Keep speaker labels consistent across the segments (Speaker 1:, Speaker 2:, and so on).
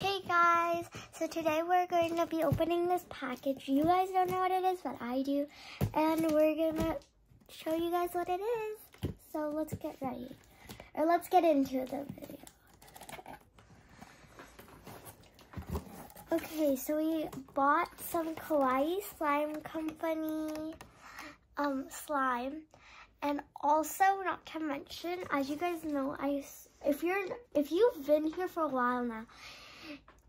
Speaker 1: Hey guys, so today we're going to be opening this package. You guys don't know what it is, but I do. And we're going to show you guys what it is. So let's get ready. Or let's get into the video. Okay, so we bought some Kawaii Slime Company um, slime. And also, not to mention, as you guys know, I if you're if you've been here for a while now,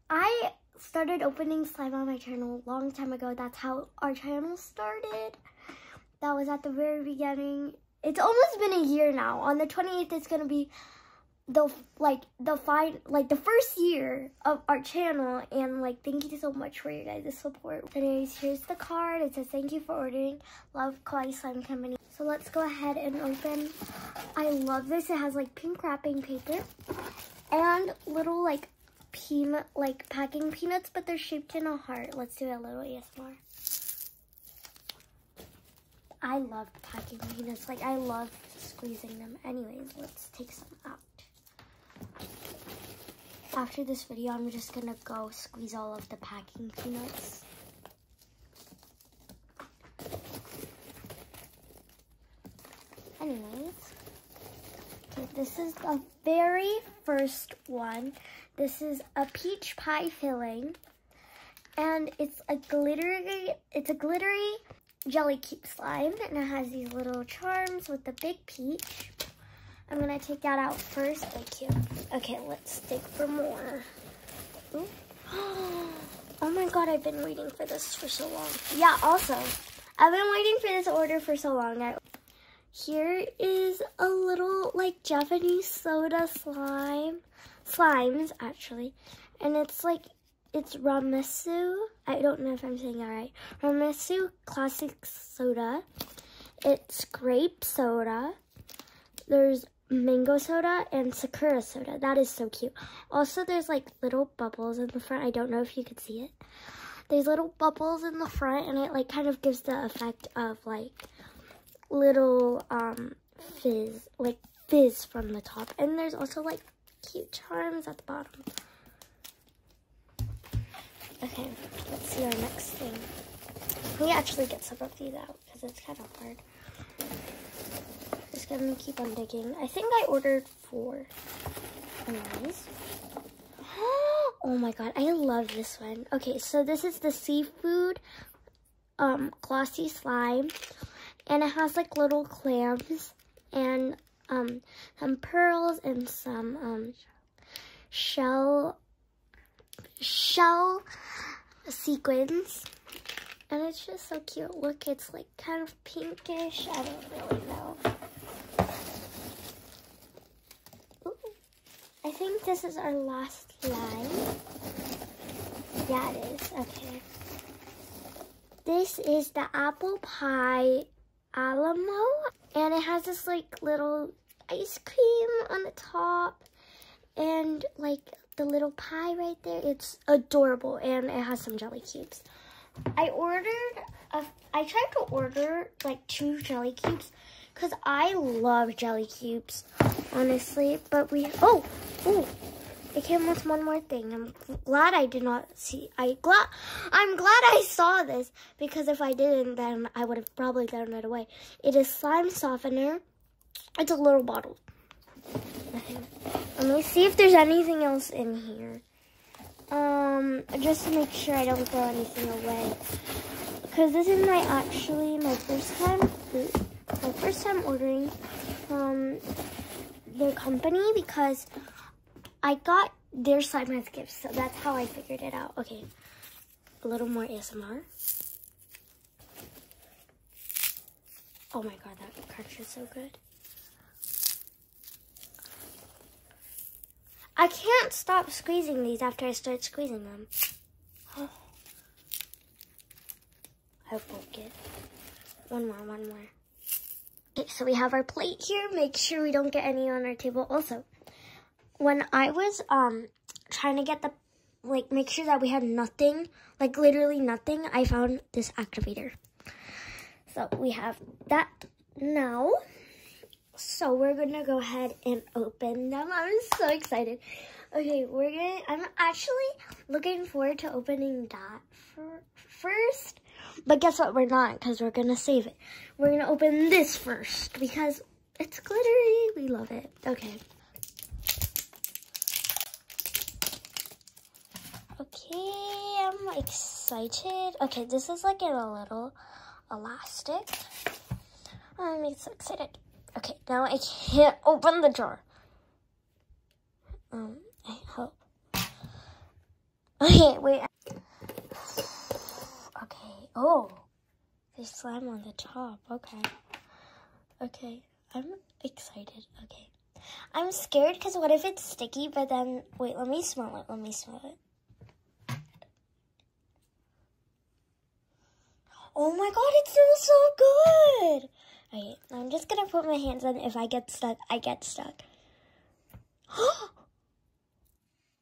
Speaker 1: I started opening slime on my channel a long time ago. That's how our channel started. That was at the very beginning. It's almost been a year now. On the 28th, it's gonna be the like the fine like the first year of our channel and like thank you so much for your guys' support anyways here's the card it says thank you for ordering love kawaii slime company so let's go ahead and open. I love this. It has like pink wrapping paper and little like peanut, like packing peanuts, but they're shaped in a heart. Let's do a little yes more. I love packing peanuts. Like I love squeezing them. Anyways, let's take some out. After this video, I'm just gonna go squeeze all of the packing peanuts. Anyways, okay, this is the very first one. This is a peach pie filling, and it's a glittery, it's a glittery jelly cube slime, and it has these little charms with the big peach. I'm gonna take that out first. Thank Okay, let's dig for more. Oh my god, I've been waiting for this for so long. Yeah, also, I've been waiting for this order for so long. Here is a little, like, Japanese soda slime. Slimes, actually. And it's, like, it's Ramesu. I don't know if I'm saying that right. Ramesu classic soda. It's grape soda. There's mango soda and sakura soda. That is so cute. Also, there's like little bubbles in the front. I don't know if you could see it. There's little bubbles in the front and it like kind of gives the effect of like little um, fizz, like fizz from the top. And there's also like cute charms at the bottom. Okay, let's see our next thing. Can we actually get some of these out because it's kind of hard. Just gonna keep on digging. I think I ordered four. Anyways. Oh my god, I love this one. Okay, so this is the seafood um, glossy slime. And it has like little clams and um, some pearls and some um, shell shell sequins. And it's just so cute. Look, it's like kind of pinkish. I don't really know. I think this is our last line. Yeah, it is. Okay. This is the apple pie Alamo. And it has this like little ice cream on the top. And like the little pie right there, it's adorable and it has some jelly cubes. I ordered, a, I tried to order like two jelly cubes because I love jelly cubes, honestly. But we, oh, oh, it came with one more thing. I'm glad I did not see, I glad, I'm glad I saw this because if I didn't, then I would have probably thrown it away. It is slime softener it's a little bottle. Let me see if there's anything else in here. Um, just to make sure I don't throw anything away. Because this is my actually my first time, my first time ordering from um, their company because I got their slime as gifts. So that's how I figured it out. Okay, a little more ASMR. Oh my god, that crunch is so good. I can't stop squeezing these after I start squeezing them. Oh. I hope we get one more, one more. Okay, so we have our plate here. Make sure we don't get any on our table. Also, when I was um trying to get the, like, make sure that we had nothing, like, literally nothing, I found this activator. So we have that now. So we're going to go ahead and open them. I'm so excited. Okay, we're going to, I'm actually looking forward to opening that for, first. But guess what? We're not because we're going to save it. We're going to open this first because it's glittery. We love it. Okay. Okay, I'm excited. Okay, this is like in a little elastic. I'm so excited. Okay, now I can't open the jar. Um, I hope. Okay, wait. Okay, oh. There's slime on the top. Okay. Okay. I'm excited. Okay. I'm scared because what if it's sticky, but then, wait, let me smell it. Let me smell it. Oh my god, it smells so good! Okay, I'm just gonna put my hands on If I get stuck, I get stuck. oh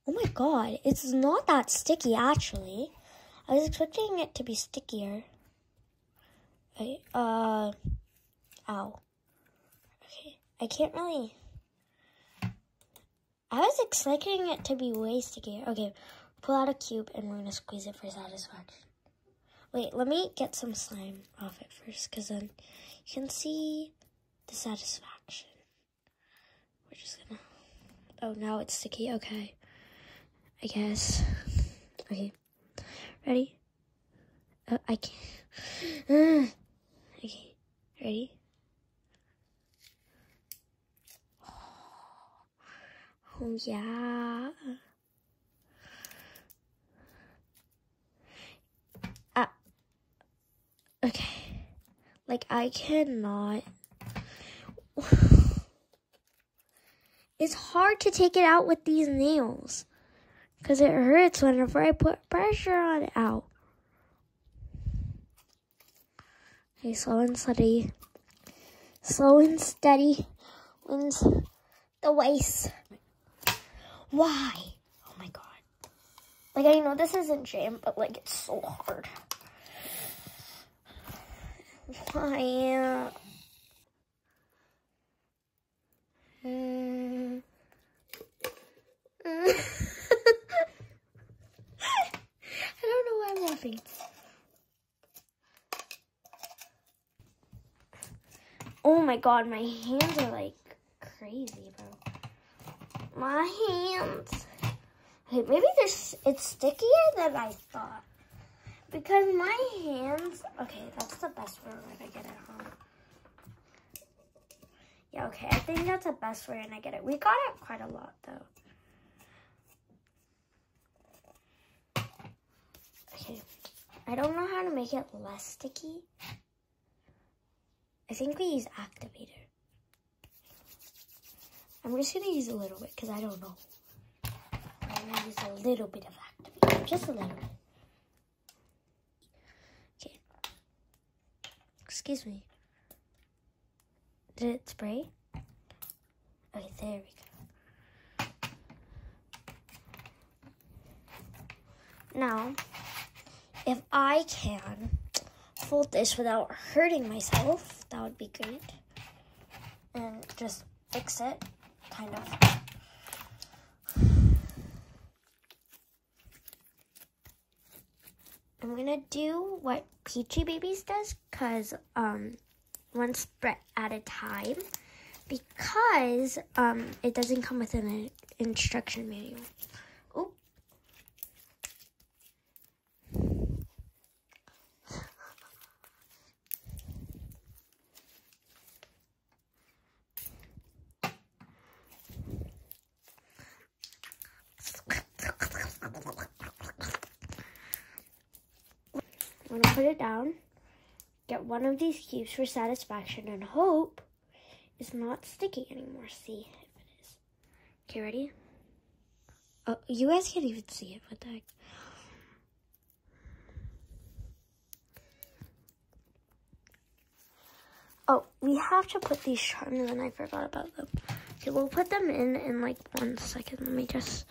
Speaker 1: my god, it's not that sticky actually. I was expecting it to be stickier. I uh, ow. Okay, I can't really, I was expecting it to be way stickier. Okay, pull out a cube and we're gonna squeeze it for satisfaction. Wait, let me get some slime off it first, because then you can see the satisfaction. We're just gonna... Oh, now it's sticky. Okay. I guess. Okay. Ready? I can't. okay. Ready? Oh, yeah. Ah. Okay. Like, I cannot. It's hard to take it out with these nails because it hurts whenever I put pressure on it out. Okay, slow and steady. Slow and steady wins the race. Why? Oh my god. Like, I know this isn't jam, but like, it's so hard. Why? Mm. I don't know why I'm laughing. Oh my god, my hands are like crazy, bro. My hands. Wait, maybe this it's stickier than I thought. Because my hands, okay, that's the best way when I get it Yeah, okay, I think that's the best way when I get it. We got it quite a lot, though. Okay, I don't know how to make it less sticky. I think we use activator. I'm just going to use a little bit because I don't know. I'm going to use a little bit of activator, just a little bit. Okay. Excuse me. Did it spray? Okay, there we go. Now, if I can, fold this without hurting myself. That would be great. And just fix it, kind of. I'm gonna do what Peachy Babies does, cause um, one spread at a time, because um, it doesn't come with an instruction manual. Oh, I'm gonna put it down, get one of these cubes for satisfaction, and hope it's not sticky anymore. See if it is. Okay, ready? Oh, you guys can't even see it. What the heck? Oh, we have to put these charms in. I forgot about them. Okay, we'll put them in in like one second. Let me just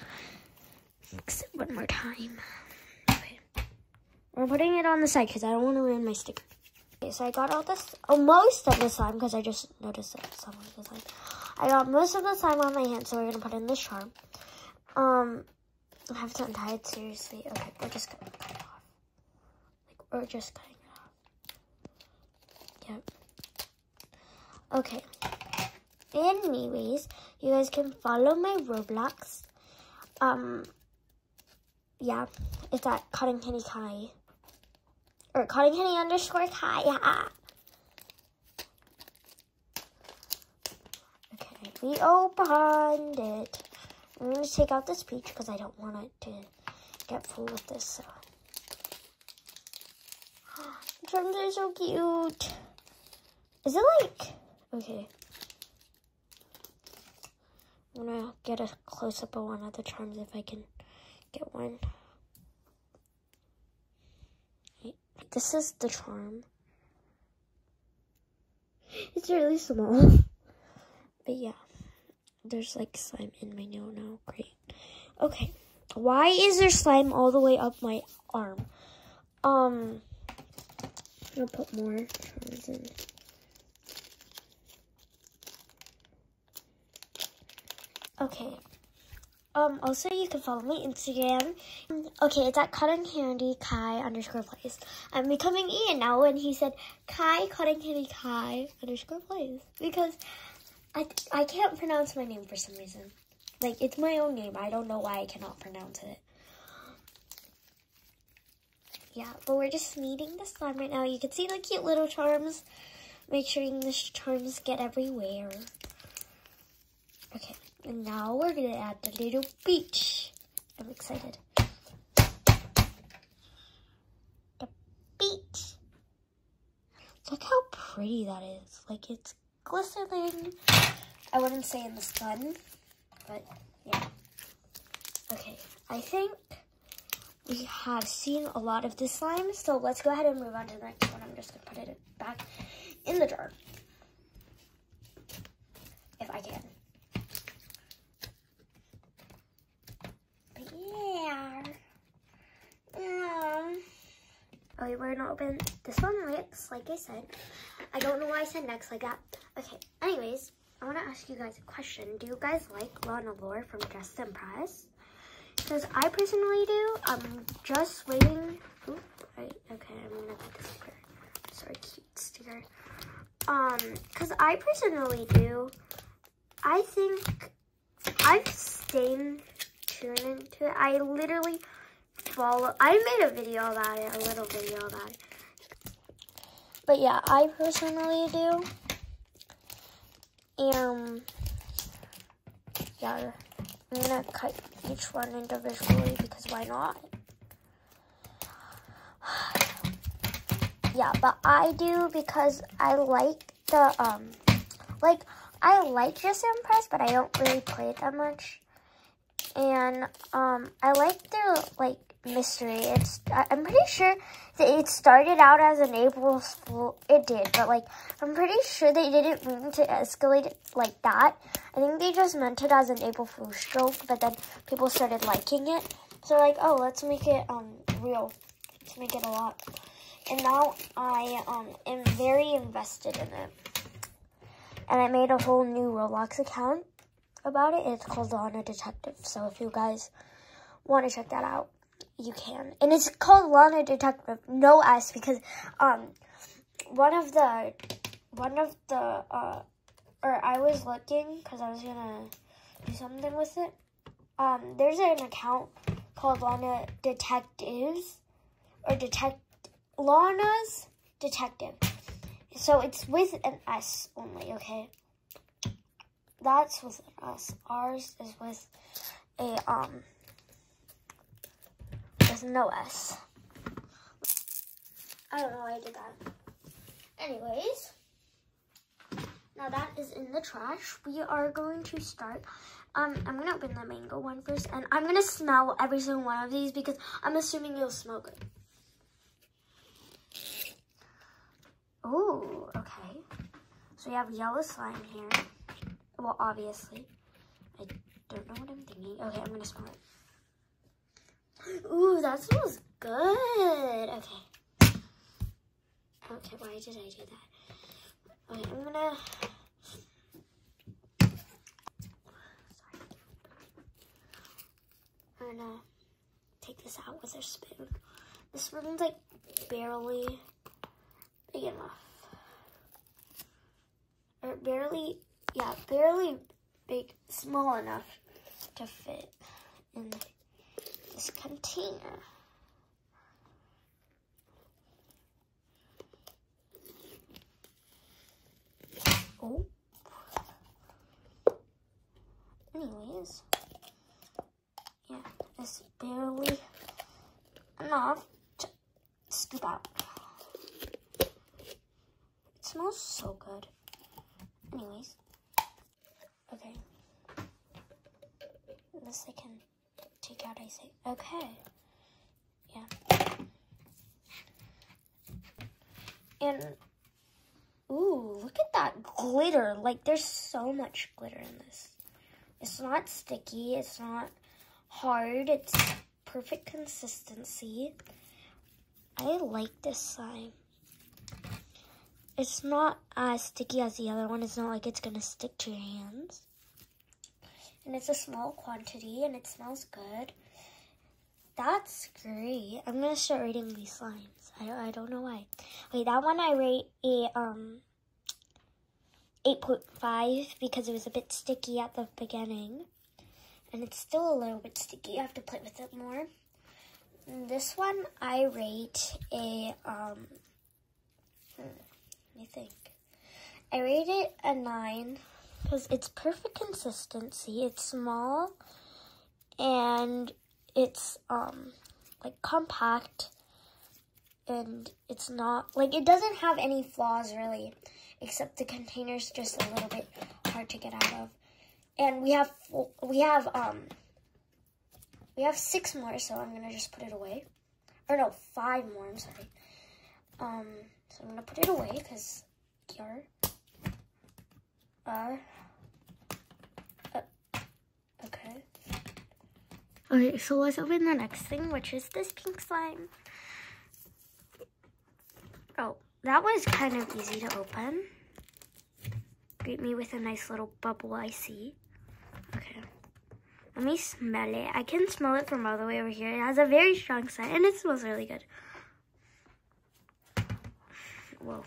Speaker 1: mix it one more time. Okay. We're putting it on the side because I don't want to ruin my sticker. Okay, so I got all this, oh, most of this slime because I just just that someone was like, I got most of the time on my hand, so we're gonna put in this charm. Um, I have to untie it seriously. Okay, we're just gonna cut it off. Like, we're just cutting it off. Yep. Okay. Anyways, you guys can follow my Roblox. Um, yeah, it's at Cotton Candy Kai or Connie Kenny underscore Kaya. Okay, we opened it. I'm going to take out this peach because I don't want it to get full with this. So. The are so cute. Is it like... Okay. I'm going to get a close-up of one of the charms if I can get one. This is the charm. It's really small. but yeah, there's like slime in my no no. Great. Okay, why is there slime all the way up my arm? Um, I'll put more charms in. Okay. Um, also, you can follow me Instagram. Okay, it's at Cotton Candy Kai underscore Place. I'm becoming Ian now, and he said Kai Cotton Candy Kai underscore Place," because I I can't pronounce my name for some reason. Like it's my own name. I don't know why I cannot pronounce it. Yeah, but we're just needing the sun right now. You can see the cute little charms. Make sure English terms get everywhere. Okay, and now we're gonna add the little beach. I'm excited. The beach. Look how pretty that is. Like it's glistening. I wouldn't say in the sun, but yeah. Okay, I think we have seen a lot of this slime, so let's go ahead and move on to the next one. I'm just going to put it back in the jar. If I can. But yeah. Um, okay, we're not open this one looks like I said. I don't know why I said next like that. Okay, anyways, I want to ask you guys a question. Do you guys like Lana and from Dressed and Pressed? Because I personally do. I'm just waiting. okay, I'm gonna put this sticker. Sorry, cute sticker. Um, because I personally do. I think I've stayed tuned into it. I literally follow. I made a video about it, a little video about it. But yeah, I personally do. Um, yeah, I'm gonna cut each one individually because why not? yeah, but I do because I like the, um, like, I like Just Impress, but I don't really play it that much. And, um, I like the, like, mystery. It's, I'm pretty sure that it started out as an April Fool, it did, but, like, I'm pretty sure they didn't mean to escalate it like that. I think they just meant it as an April Fool's joke, but then people started liking it. So, like, oh, let's make it, um, real. Let's make it a lot. And now I, um, am very invested in it. And I made a whole new Roblox account about it, it's called The Honor Detective. So, if you guys want to check that out, you can. And it's called Lana Detective, no S, because um, one of the, one of the, uh, or I was looking because I was gonna do something with it. Um, there's an account called Lana Detectives or Detect Lana's Detective. So it's with an S only, okay? that's with us. Ours is with a um There's no S. I don't know why I did that. Anyways, now that is in the trash. We are going to start. Um, I'm gonna open the mango one first, and I'm gonna smell every single one of these because I'm assuming you'll smell good. Oh, okay. So we have yellow slime here. Well, obviously. I don't know what I'm thinking. Okay, I'm gonna smell it. Ooh, that smells good. Okay. Okay, why did I do that? I'm gonna... I'm gonna take this out with a spoon. This one's like barely big enough. Or barely, yeah, barely big, small enough to fit in this container. Oh. Anyways, yeah, it's barely enough to scoop out. It smells so good. Anyways. Okay. This I can take out, I say. Okay. Yeah. And, ooh, look at that glitter. Like, there's so much glitter in this. It's not sticky. It's not hard. It's perfect consistency. I like this slime. It's not as sticky as the other one. It's not like it's going to stick to your hands. And it's a small quantity and it smells good. That's great. I'm going to start rating these slimes. I, I don't know why. Wait, that one I rate eh, a um 8.5 because it was a bit sticky at the beginning. And it's still a little bit sticky. I have to play with it more. this one I rate a, um, hmm, let me think. I rate it a 9 because it's perfect consistency. It's small and it's, um, like compact and it's not like it doesn't have any flaws really except the container's just a little bit hard to get out of and we have we have um we have six more so i'm gonna just put it away or no five more i'm sorry um so i'm gonna put it away because here uh, uh Okay. Okay, so let's open the next thing, which is this pink slime. Oh, that was kind of easy to open. Greet me with a nice little bubble I see. Okay. Let me smell it. I can smell it from all the way over here. It has a very strong scent, and it smells really good. Whoa.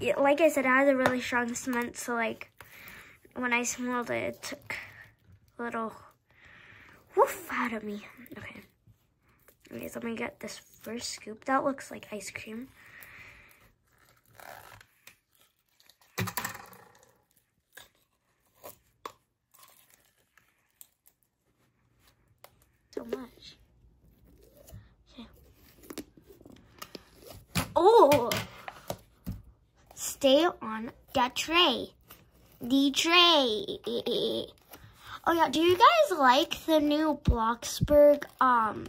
Speaker 1: It, like I said, it has a really strong scent, so like, when I smelled it, it took a little woof out of me. Okay. Anyways, let me get this first scoop. That looks like ice cream. So much. Okay. Oh! Stay on the tray. The tray. Oh yeah, do you guys like the new Bloxburg um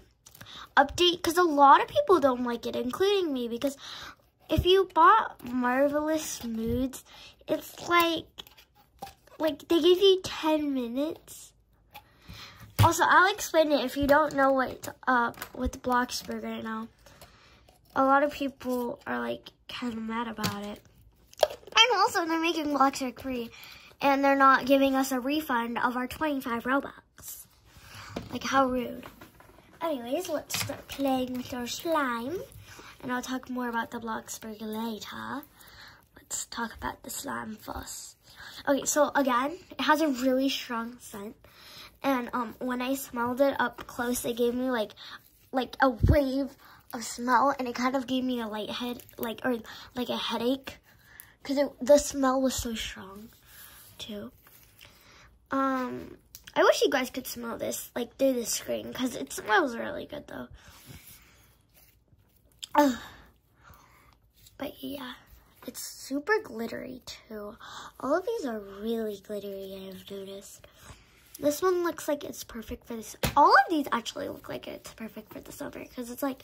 Speaker 1: update? Because a lot of people don't like it, including me, because if you bought Marvelous Moods, it's like like they give you 10 minutes. Also, I'll explain it if you don't know what up with Bloxburg right now. A lot of people are like kind of mad about it. And also they're making Bloxburg free and they're not giving us a refund of our 25 Robux. Like how rude. Anyways, let's start playing with our slime and I'll talk more about the Bloxburg later. Let's talk about the slime first. Okay, so again, it has a really strong scent. And um, when I smelled it up close, it gave me like like a wave of smell, and it kind of gave me a light head, like or like a headache, because the smell was so strong, too. Um, I wish you guys could smell this like through the screen, because it smells really good though. But yeah, it's super glittery too. All of these are really glittery, I've noticed. This one looks like it's perfect for this. All of these actually look like it's perfect for the summer because it's like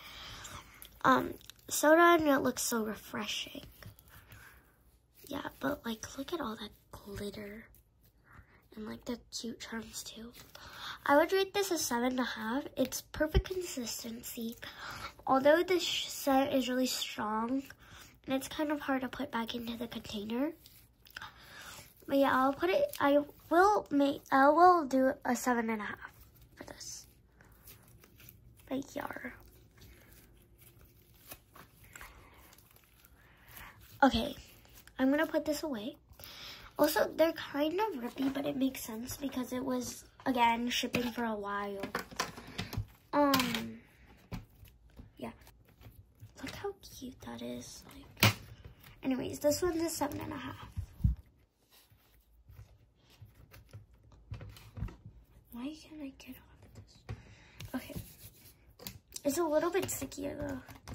Speaker 1: um, soda and it looks so refreshing. Yeah, but like look at all that glitter and like the cute charms too. I would rate this a seven and a half. It's perfect consistency. Although this scent is really strong, and it's kind of hard to put back into the container. But yeah, I'll put it, I will make, I will do a seven and a half for this. Like, yeah. Okay, I'm gonna put this away. Also, they're kind of rippy, but it makes sense because it was again, shipping for a while. Um, yeah. Look how cute that is. anyways, this one's a seven and a half. Why can't I get off this? Okay. It's a little bit stickier, though,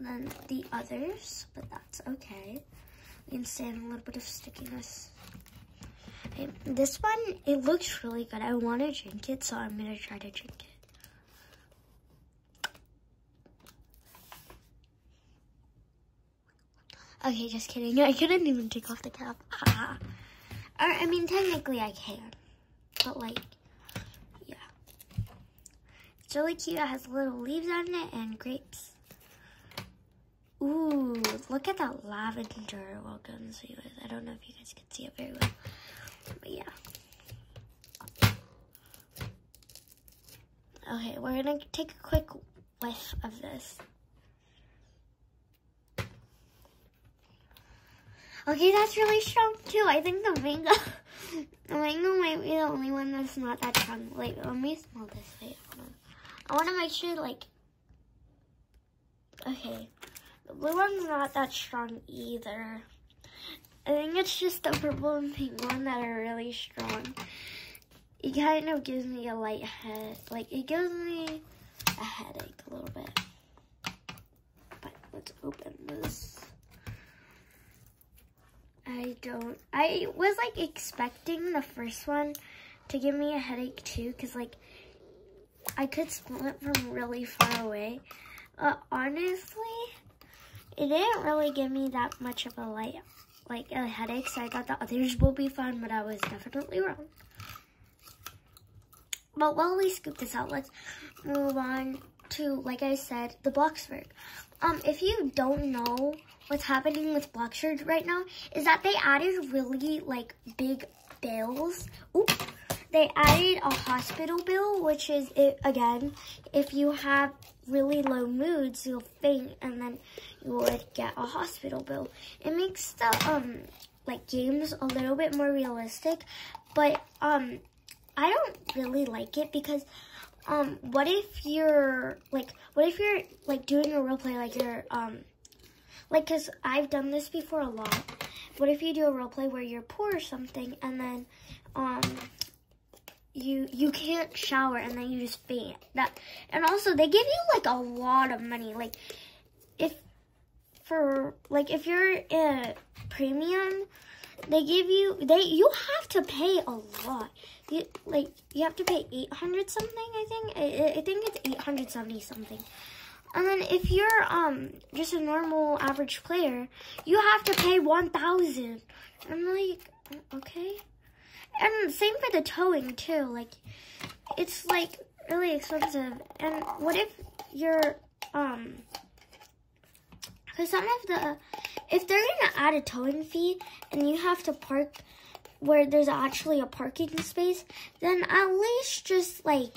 Speaker 1: than the others, but that's okay. We can stand a little bit of stickiness this one, it looks really good. I want to drink it, so I'm going to try to drink it. Okay, just kidding. I couldn't even take off the cap. Or, I mean, technically I can. But, like, yeah. It's really cute. It has little leaves on it and grapes. Ooh, look at that lavender. Welcome, so you guys. I don't know if you guys can see it very well, but yeah. Okay, we're gonna take a quick whiff of this. Okay, that's really strong too. I think the mango, the mango might be the only one that's not that strong. Wait, let me smell this. way. I wanna make sure like Okay, the blue one's not that strong either. I think it's just the purple and pink one that are really strong. It kind of gives me a light head, like it gives me a headache a little bit. But let's open this. I don't, I was like expecting the first one to give me a headache too because like I could smell it from really far away. honestly, it didn't really give me that much of a light, like a headache, so I thought the others will be fun, but I was definitely wrong. But while we scoop this out, let's move on to, like I said, the box work. Um, if you don't know what's happening with block shirts right now is that they added really like big bills. Oop. They added a hospital bill, which is, it, again, if you have really low moods, you'll faint, and then you would get a hospital bill. It makes the, um, like, games a little bit more realistic, but, um, I don't really like it because, um, what if you're, like, what if you're, like, doing a role play, like, you're, um, like, because I've done this before a lot. What if you do a role play where you're poor or something, and then um, you you can't shower, and then you just faint. That, and also, they give you, like, a lot of money. Like, if for like if you're a premium they give you they you have to pay a lot you, like you have to pay 800 something, I think. I, think it's 870 something. And then if you're um just a normal average player, you have to pay 1000 I'm like, okay. And same for the towing, too. Like, it's, like, really expensive. And what if you're, um... Because some of the... If they're going to add a towing fee and you have to park where there's actually a parking space, then at least just like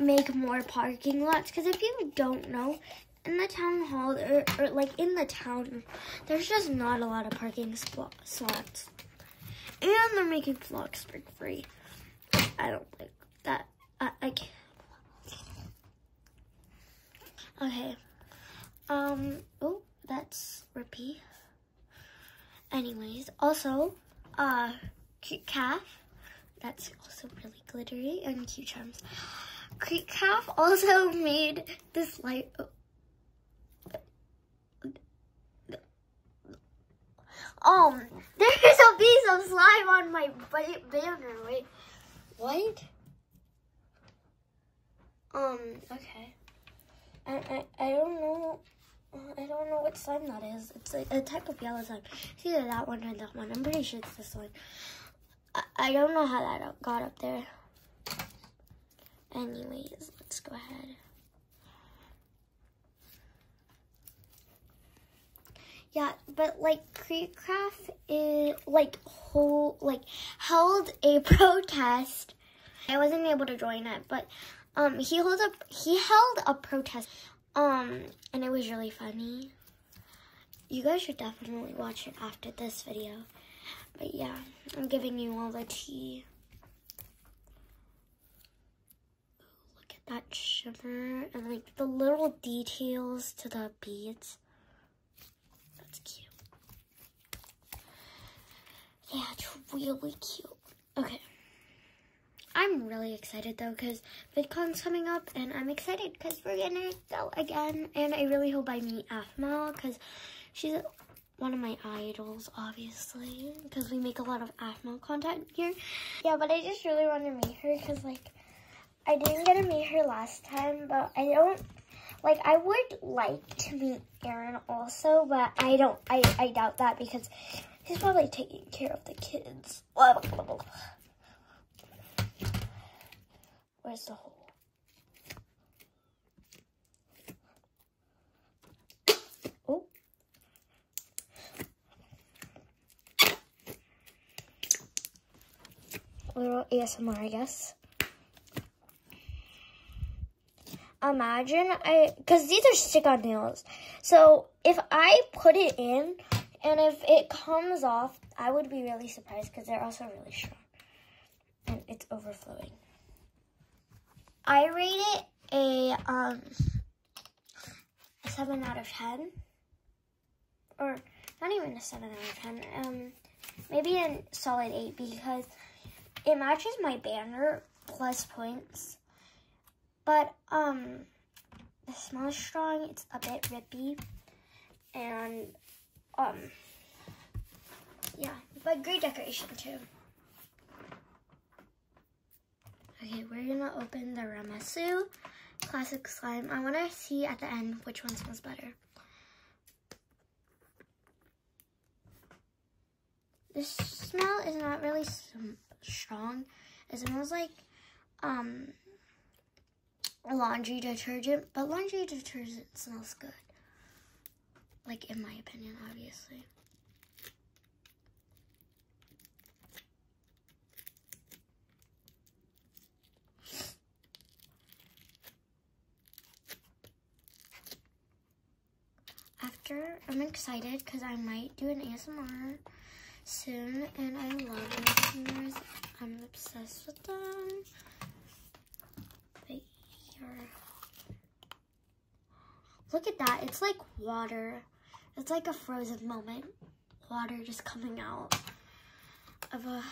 Speaker 1: make more parking lots. Because if you don't know, in the town hall or, or, like in the town, there's just not a lot of parking slots. And they're making Floxburg free. I don't like that. I, I can't. Okay. Um, oh, that's repeat. Anyways, also, uh, cute calf. That's also really glittery and cute charms. Cute calf also made this light. Um, there's a piece of slime on my banner. Wait, what? Um, okay. I, I, I don't know. I don't know what slime that is. It's a, a type of yellow slime. It's either that one or that one. I'm pretty sure it's this one. I, I don't know how that got up there. Anyways, let's go ahead. Yeah, but like Creekcraft is like whole like held a protest I wasn't able to join it, but um, he held a he held a protest, um, and it was really funny. You guys should definitely watch it after this video. But yeah, I'm giving you all the tea. Look at that shimmer and like the little details to the beads. That's cute. Yeah, it's really cute. Okay. I'm really excited though because VidCon's coming up and I'm excited because we're gonna go again. And I really hope I meet Afma because she's one of my idols, obviously, because we make a lot of Afma content here. Yeah, but I just really want to meet her because, like, I didn't get to meet her last time, but I don't, like, I would like to meet Aaron also, but I don't, I, I doubt that because he's probably taking care of the kids. Where's the hole? Oh. Little ASMR, I guess imagine I, because these are stick-on nails. So if I put it in and if it comes off, I would be really surprised because they're also really strong and it's overflowing. I rate it a, um, a 7 out of 10 or not even a 7 out of 10. Um, maybe a solid 8 because it matches my banner plus points. But, um, the smell is strong. It's a bit rippy. And, um, yeah, but great decoration too. Okay, we're gonna open the Ramasu classic slime. I wanna see at the end which one smells better. The smell is not really strong. It smells like um, laundry detergent, but laundry detergent smells good. Like, in my opinion, obviously. After, I'm excited because I might do an ASMR soon, and I love ASMRs. I'm obsessed with them. here, look at that. It's like water. It's like a frozen moment. Water just coming out of a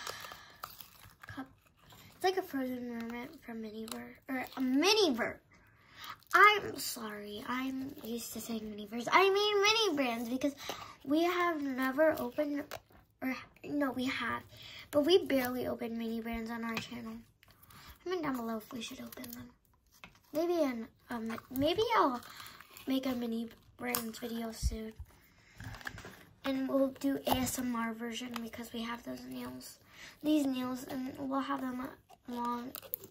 Speaker 1: cup it's like a frozen mermaid from Mini Miniver, or a Mini Miniver. I'm sorry, I'm used to saying Mini Minivers. I mean mini brands because we have never opened, or no, we have, but we barely opened mini brands on our channel. Comment down below if we should open them. Maybe an, um, maybe I'll make a mini brands video soon. And we'll do ASMR version because we have those nails these nails, and we'll have them long,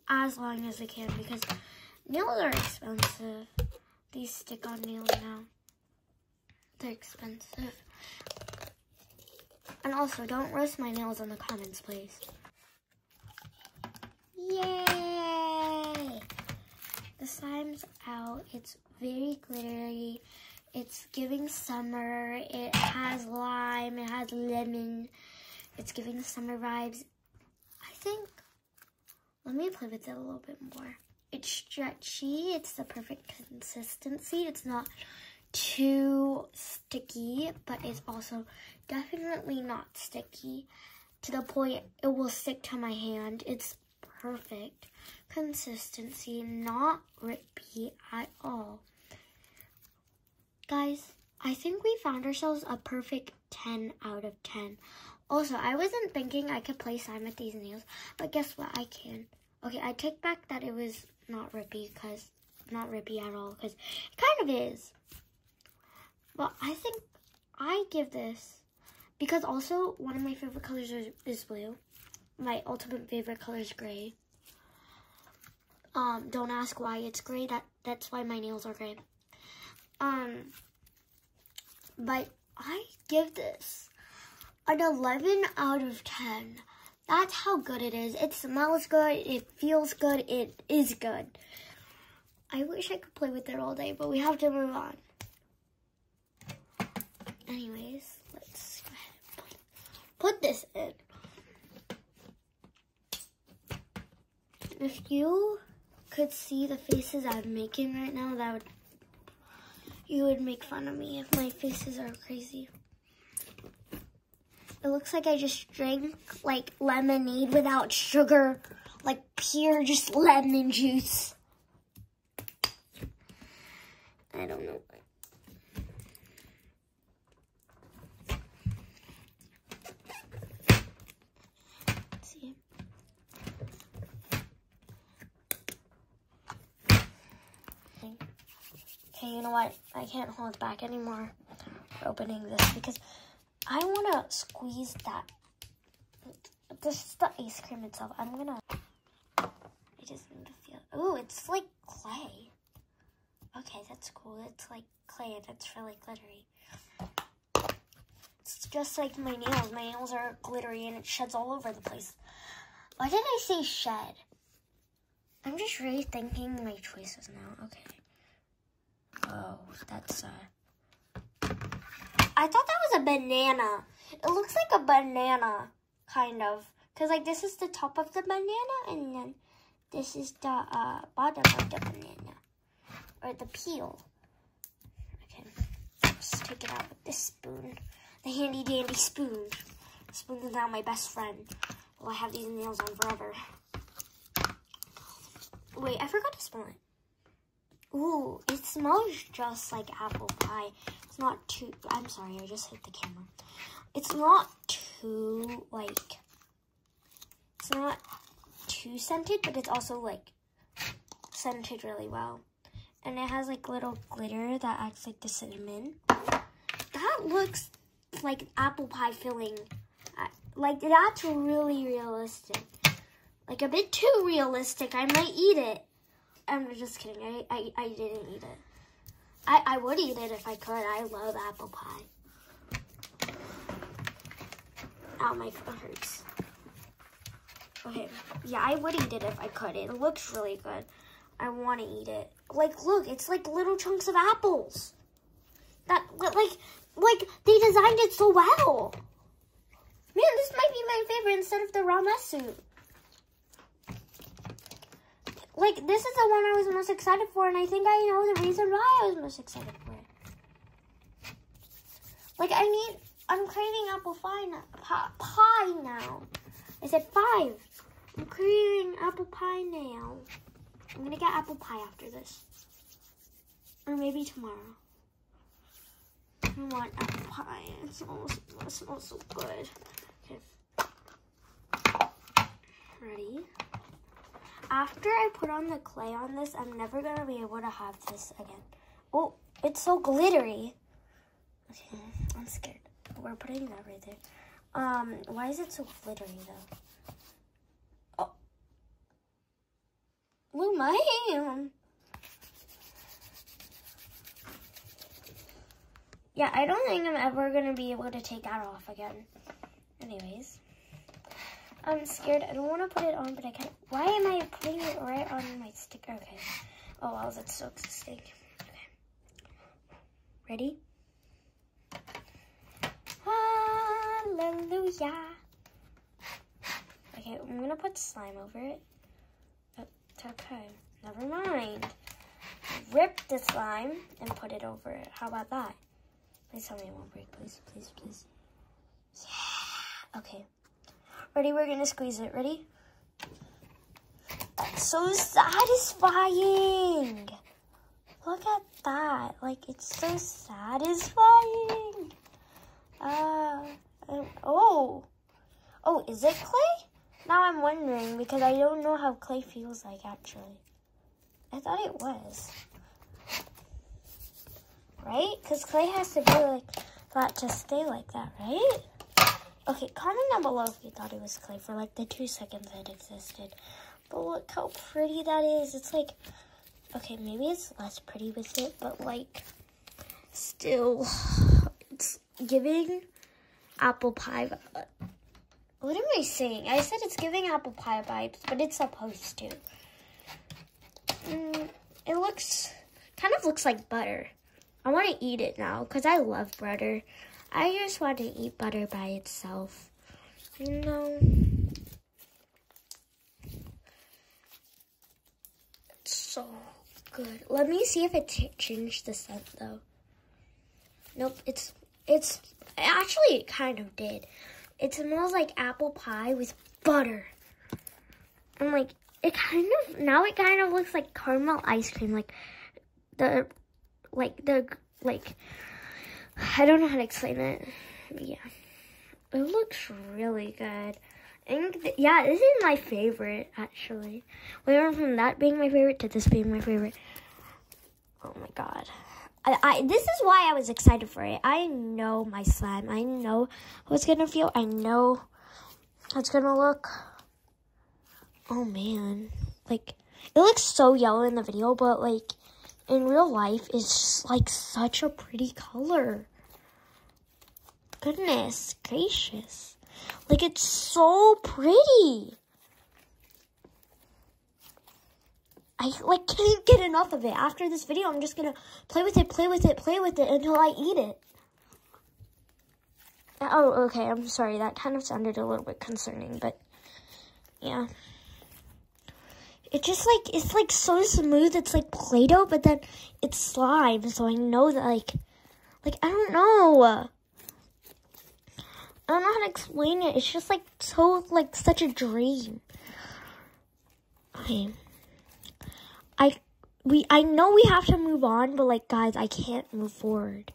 Speaker 1: as long as we can because nails are expensive. These stick-on nails now, they're expensive. And also, don't roast my nails in the comments, please. Yay! The slime's out. It's very glittery. It's giving summer. It has lime. It has lemon. It's giving the summer vibes. I think, let me play with it a little bit more. It's stretchy. It's the perfect consistency. It's not too sticky, but it's also definitely not sticky to the point it will stick to my hand. It's perfect consistency, not Rippy at all. Guys, I think we found ourselves a perfect 10 out of 10. Also, I wasn't thinking I could play Sign with these nails, but guess what? I can. Okay, I take back that it was not rippy, because not rippy at all, because it kind of is. But I think I give this, because also one of my favorite colors is, is blue. My ultimate favorite color is gray. Um, don't ask why it's gray. That that's why my nails are gray. Um, but I give this an 11 out of 10. That's how good it is. It smells good. It feels good. It is good. I wish I could play with it all day, but we have to move on. Anyways, let's go ahead and play put this in. If you could see the faces I'm making right now, that would you would make fun of me if my faces are crazy. It looks like I just drank like lemonade without sugar, like pure just lemon juice. I don't know See? Okay, you know what? I can't hold back anymore opening this because I want to squeeze that. This is the ice cream itself. I'm going to... I just need to feel. Oh, it's like clay. Okay, that's cool. It's like clay and it's really glittery. It's just like my nails. My nails are glittery and it sheds all over the place. Why did I say shed? I'm just rethinking my choices now. Okay. Oh, that's uh I thought that was a banana. It looks like a banana kind of. Because, like, this is the top of the banana, and then this is the uh, bottom of the banana, or the peel. Okay, let's take it out with this spoon, the handy dandy spoon. The spoon is now my best friend. Well, will have these nails on forever. Wait, I forgot to smell it. Ooh, it smells just like apple pie it's not too, I'm sorry, I just hit the camera. It's not too, like, it's not too scented, but it's also, like, scented really well. And it has, like, little glitter that acts like the cinnamon. That looks like apple pie filling. Uh, like, that's really realistic. Like, a bit too realistic. I might eat it. I'm just kidding. I, I, didn't eat it. I, I would eat it if I could. I love apple pie. Oh, my throat hurts. Okay, yeah, I would eat it if I could. It looks really good. I want to eat it. Like, look, it's like little chunks of apples. That, like, like, they designed it so well. Man, this might be my favorite instead of the raw soup. Like, this is the one I was most excited for, and I think I know the reason why I was most excited for it. Like, I need, I'm craving apple pie, now, pie now. I said five. I'm craving apple pie now. I'm gonna get apple pie after this. Or maybe tomorrow. I want apple pie. It it smells so good. Okay. Ready? After I put on the clay on this, I'm never going to be able to have this again. Oh, it's so glittery. Okay, I'm scared. We're putting that right there. Um, why is it so glittery, though? Oh. Blew my hand. Yeah, I don't think I'm ever going to be able to take that off again. Anyways. I'm scared. I don't want to put it on, but I can't. Why am I putting it right on my stick? Okay. Oh, that that's so stick. Okay. Ready? Hallelujah. Okay, I'm going to put slime over it. It's Okay, never mind. Rip the slime and put it over it. How about that? Please tell me it won't break, please, please, please. Yeah. Okay. Ready? We're gonna squeeze it. Ready? That's so satisfying. Look at that. Like, it's so satisfying. Uh, oh. Oh, is it clay? Now I'm wondering because I don't know how clay feels like actually. I thought it was. Right? Because clay has to be like that to stay like that, right? Okay, comment down below if you thought it was clay for like the two seconds it existed. But look how pretty that is. It's like, okay, maybe it's less pretty with it, but like, still, giving apple pie. Uh, what am I saying? I said it's giving apple pie vibes, but it's supposed to. Mm, it looks, kind of looks like butter. I want to eat it now because I love butter. I just want to eat butter by itself. You know? so good. Let me see if it changed the scent though. Nope, it's it's actually kind of did. It smells like apple pie with butter. I'm like it kind of now it kind of looks like caramel ice cream like the like the like I don't know how to explain it. Yeah. It looks really good. And yeah, this is my favorite actually really. We went from that being my favorite to this being my favorite. Oh my god. I, I, this is why I was excited for it. I know my slime. I know what's gonna feel. I know how it's gonna look. Oh man. Like it looks so yellow in the video, but like in real life it's just like such a pretty color. Goodness gracious. Like, it's so pretty. I, like, can't get enough of it. After this video, I'm just going to play with it, play with it, play with it until I eat it. Uh, oh, okay, I'm sorry. That kind of sounded a little bit concerning, but yeah. It just, like, it's, like, so smooth. It's, like, Play-Doh, but then it's slime, so I know that, like, like, I don't know. I don't know how to explain it. It's just like so, like, such a dream. Okay. I, we, I know we have to move on, but like, guys, I can't move forward.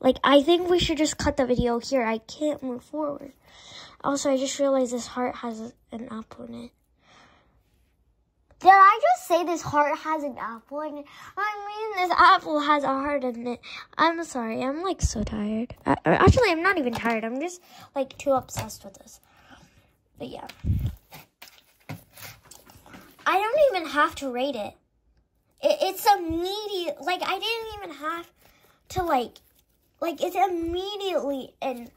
Speaker 1: Like, I think we should just cut the video here. I can't move forward. Also, I just realized this heart has an apple in it. Did I just say this heart has an apple in it? I mean, this apple has a heart in it. I'm sorry. I'm like so tired. actually, I'm not even tired. I'm just like too obsessed with this. But yeah. I don't even have to rate it. it it's immediate. Like, I didn't even have to like, like, it's immediately in,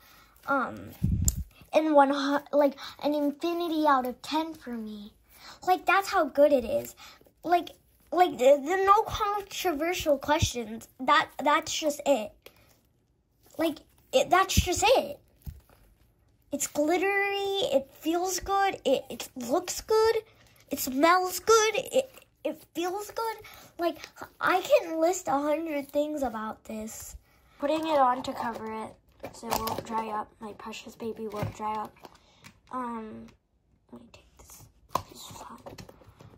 Speaker 1: um, in one, like, an infinity out of 10 for me. Like that's how good it is. Like like the, the no controversial questions. That that's just it. Like it, that's just it. It's glittery. It feels good. It, it looks good. It smells good. It it feels good. Like I can list a hundred things about this. Putting it on to cover it so it won't dry up. My precious baby won't dry up. Um, let me take this, this slime.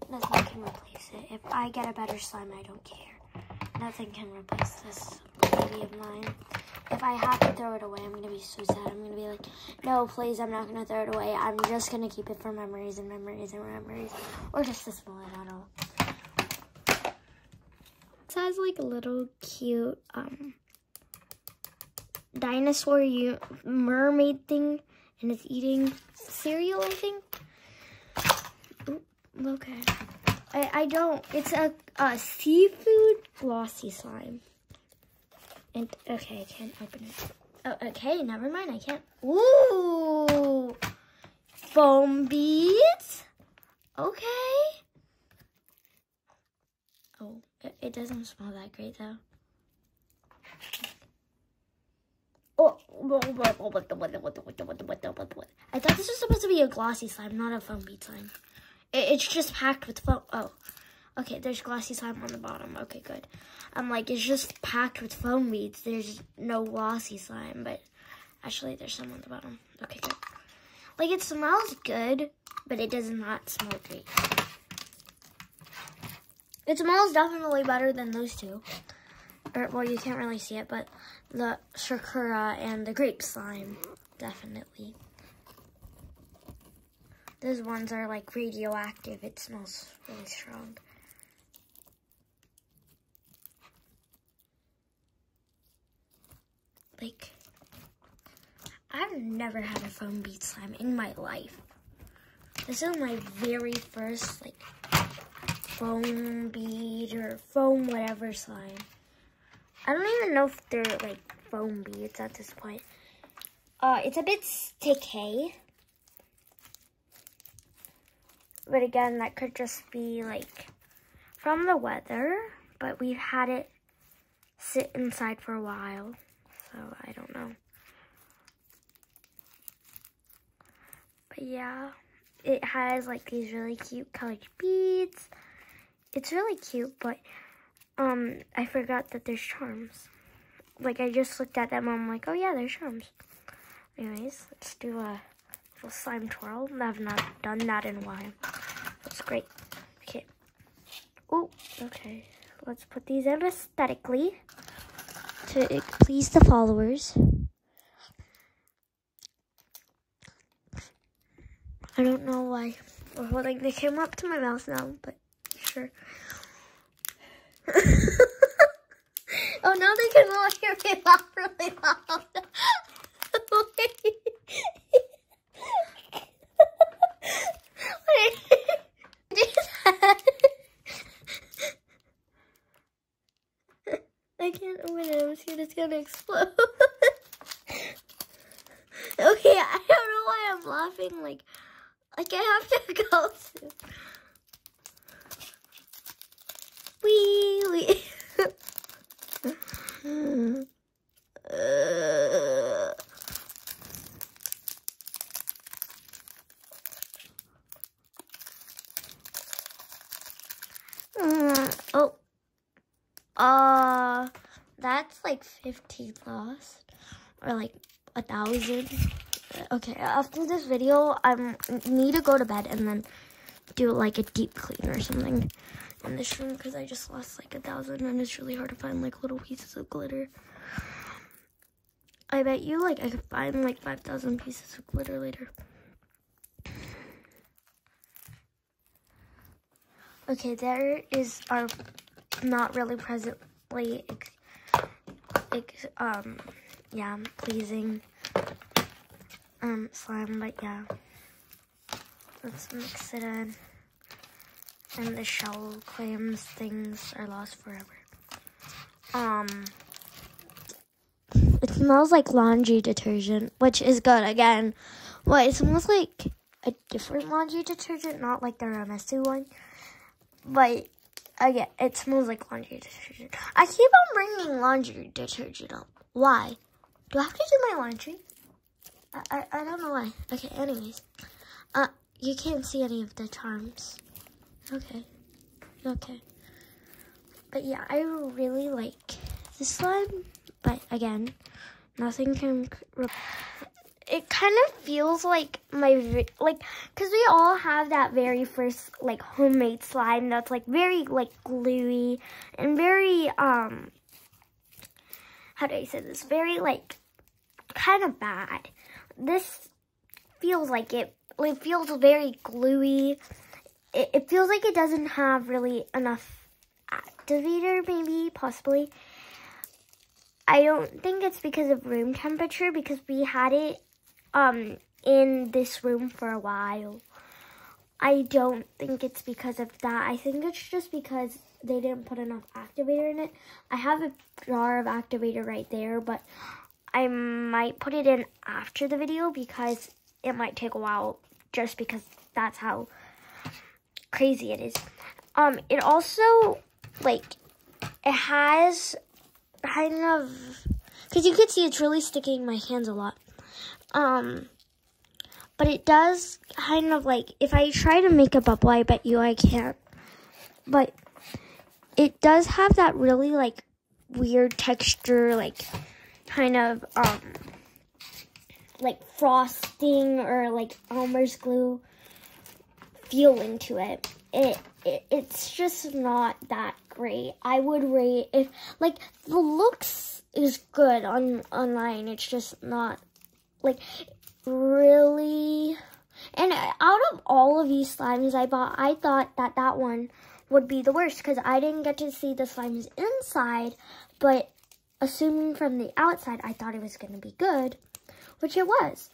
Speaker 1: Nothing can replace it. If I get a better slime, I don't care. Nothing can replace this baby of mine. If I have to throw it away, I'm going to be so sad. I'm going to be like, no, please, I'm not going to throw it away. I'm just going to keep it for memories and memories and memories. Or just to smell bottle. It has like a little cute, um, dinosaur you mermaid thing and it's eating cereal, I think. okay. I, I don't. It's a, a seafood glossy slime. And okay, I can't open it. Oh, okay, never mind. I can't. Ooh, foam beads. Okay. Oh, it, doesn't smell that great though. Oh, I thought this was supposed to be a glossy slime, not a foam bead slime. it's just packed with foam. Oh, okay, there's glossy slime on the bottom. Okay, good. I'm like, it's just packed with foam beads. There's no glossy slime, but actually there's some on the bottom. Okay, good. Like, it smells good, but it does not smell great. It smells definitely better than those two. Or, well, you can't really see it, but the Shakura and the grape slime, definitely. Those ones are like radioactive. It smells really strong. Like, I've never had a foam bead slime in my life. This is my very first, like, foam bead or foam whatever slime. I don't even know if they're, like, foam beads at this point. Uh, it's a bit sticky. But again, that could just be, like, from the weather. But we've had it sit inside for a while. So I don't know. But yeah, it has like these really cute colored beads. It's really cute, but um, I forgot that there's charms. Like I just looked at them, I'm like, oh yeah, there's charms. Anyways, let's do a little slime twirl. I've not done that in a while. That's great. Okay. Oh, okay. Let's put these in aesthetically to please the followers. I don't know why we're holding the camera up to my mouth now, but sure. oh, now they can all hear me laugh really loud. I can't open it. I'm scared it's gonna explode. okay, I don't know why I'm laughing. Like, like I have to go soon. Wee wee. Uh, oh. Uh, that's like 15 lost. Or like a thousand. Okay, after this video, I need to go to bed and then do like a deep clean or something in this room because I just lost like a thousand and it's really hard to find like little pieces of glitter. I bet you like I could find like 5,000 pieces of glitter later. Okay, there is our not really presently, ex, um, yeah, pleasing, um, slime, but yeah. Let's mix it in. And the shell claims things are lost forever. Um, it smells like laundry detergent, which is good again. Well, it smells like a different laundry detergent, not like the Ramesu one. But again, it smells like laundry detergent. I keep on bringing laundry detergent up. Why? Do I have to do my laundry? I, I, don't know why. Okay, anyways. Uh, you can't see any of the charms. Okay. Okay. But yeah, I really like this slime. But again, nothing can... It kind of feels like my... Like, because we all have that very first, like, homemade slime that's, like, very, like, gluey and very, um how do I say this? Very like kind of bad. This feels like it. It feels very gluey. It, feels like it doesn't have really enough activator, maybe, possibly. I don't think it's because of room temperature because we had it um, in this room for a while. I don't think it's because of that. I think it's just because they didn't put enough activator in it. I have a jar of activator right there, but I might put it in after the video because it might take a while just because that's how crazy it is. Um, it also, like, it has kind of, because you can see it's really sticking my hands a lot. Um, but it does kind of like, if I try to make a bubble, I bet you I can't. But it does have that really like weird texture, like kind of um like frosting or like Elmer's glue feeling to it. It, it it's just not that great. I would rate if like the looks is good on online. It's just not like really. And out of all of these slimes I bought, I thought that that one would be the worst because I didn't get to see the slimes inside, but assuming from the outside, I thought it was going to be good, which it was.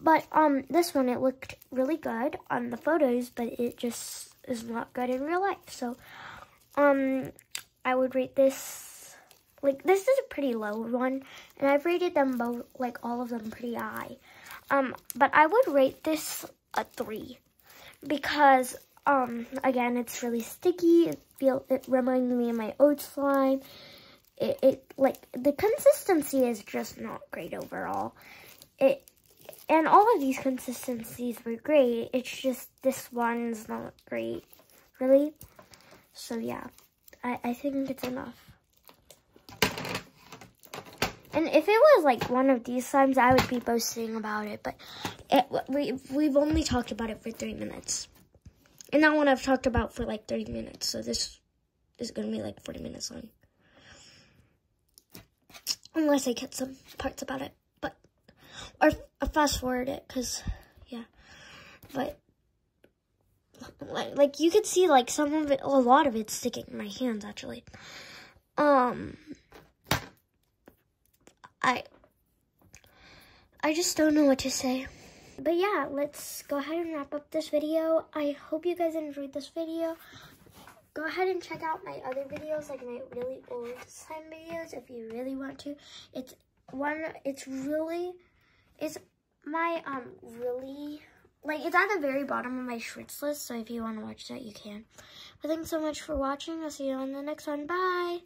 Speaker 1: But um, this one, it looked really good on the photos, but it just is not good in real life. So um, I would rate this, like, this is a pretty low one, and I've rated them both, like, all of them pretty high. Um, but I would rate this a three, because, um, again, it's really sticky, it feel, it reminds me of my oat slime, it, like, the consistency is just not great overall. It, and all of these consistencies were great, it's just, this one's not great, really. So yeah, I, I think it's enough. And if it was like one of these times, I would be boasting about it. But we, we've only talked about it for three minutes. And that one I've talked about for like 30 minutes. So this is going to be like 40 minutes long. Unless I cut some parts about it but or fast forward it because yeah, but like, you could see like some of it, a lot of it sticking in my hands actually. Um, I I just don't know what to say. But yeah, let's go ahead and wrap up this video. I hope you guys enjoyed this video go ahead and check out my other videos, like my really old slime videos if you really want to. It's one, it's really, it's my, um, really, like, it's at the very bottom of my shorts list, so if you want to watch that, you can. But thanks so much for watching. I'll see you on the next one. Bye!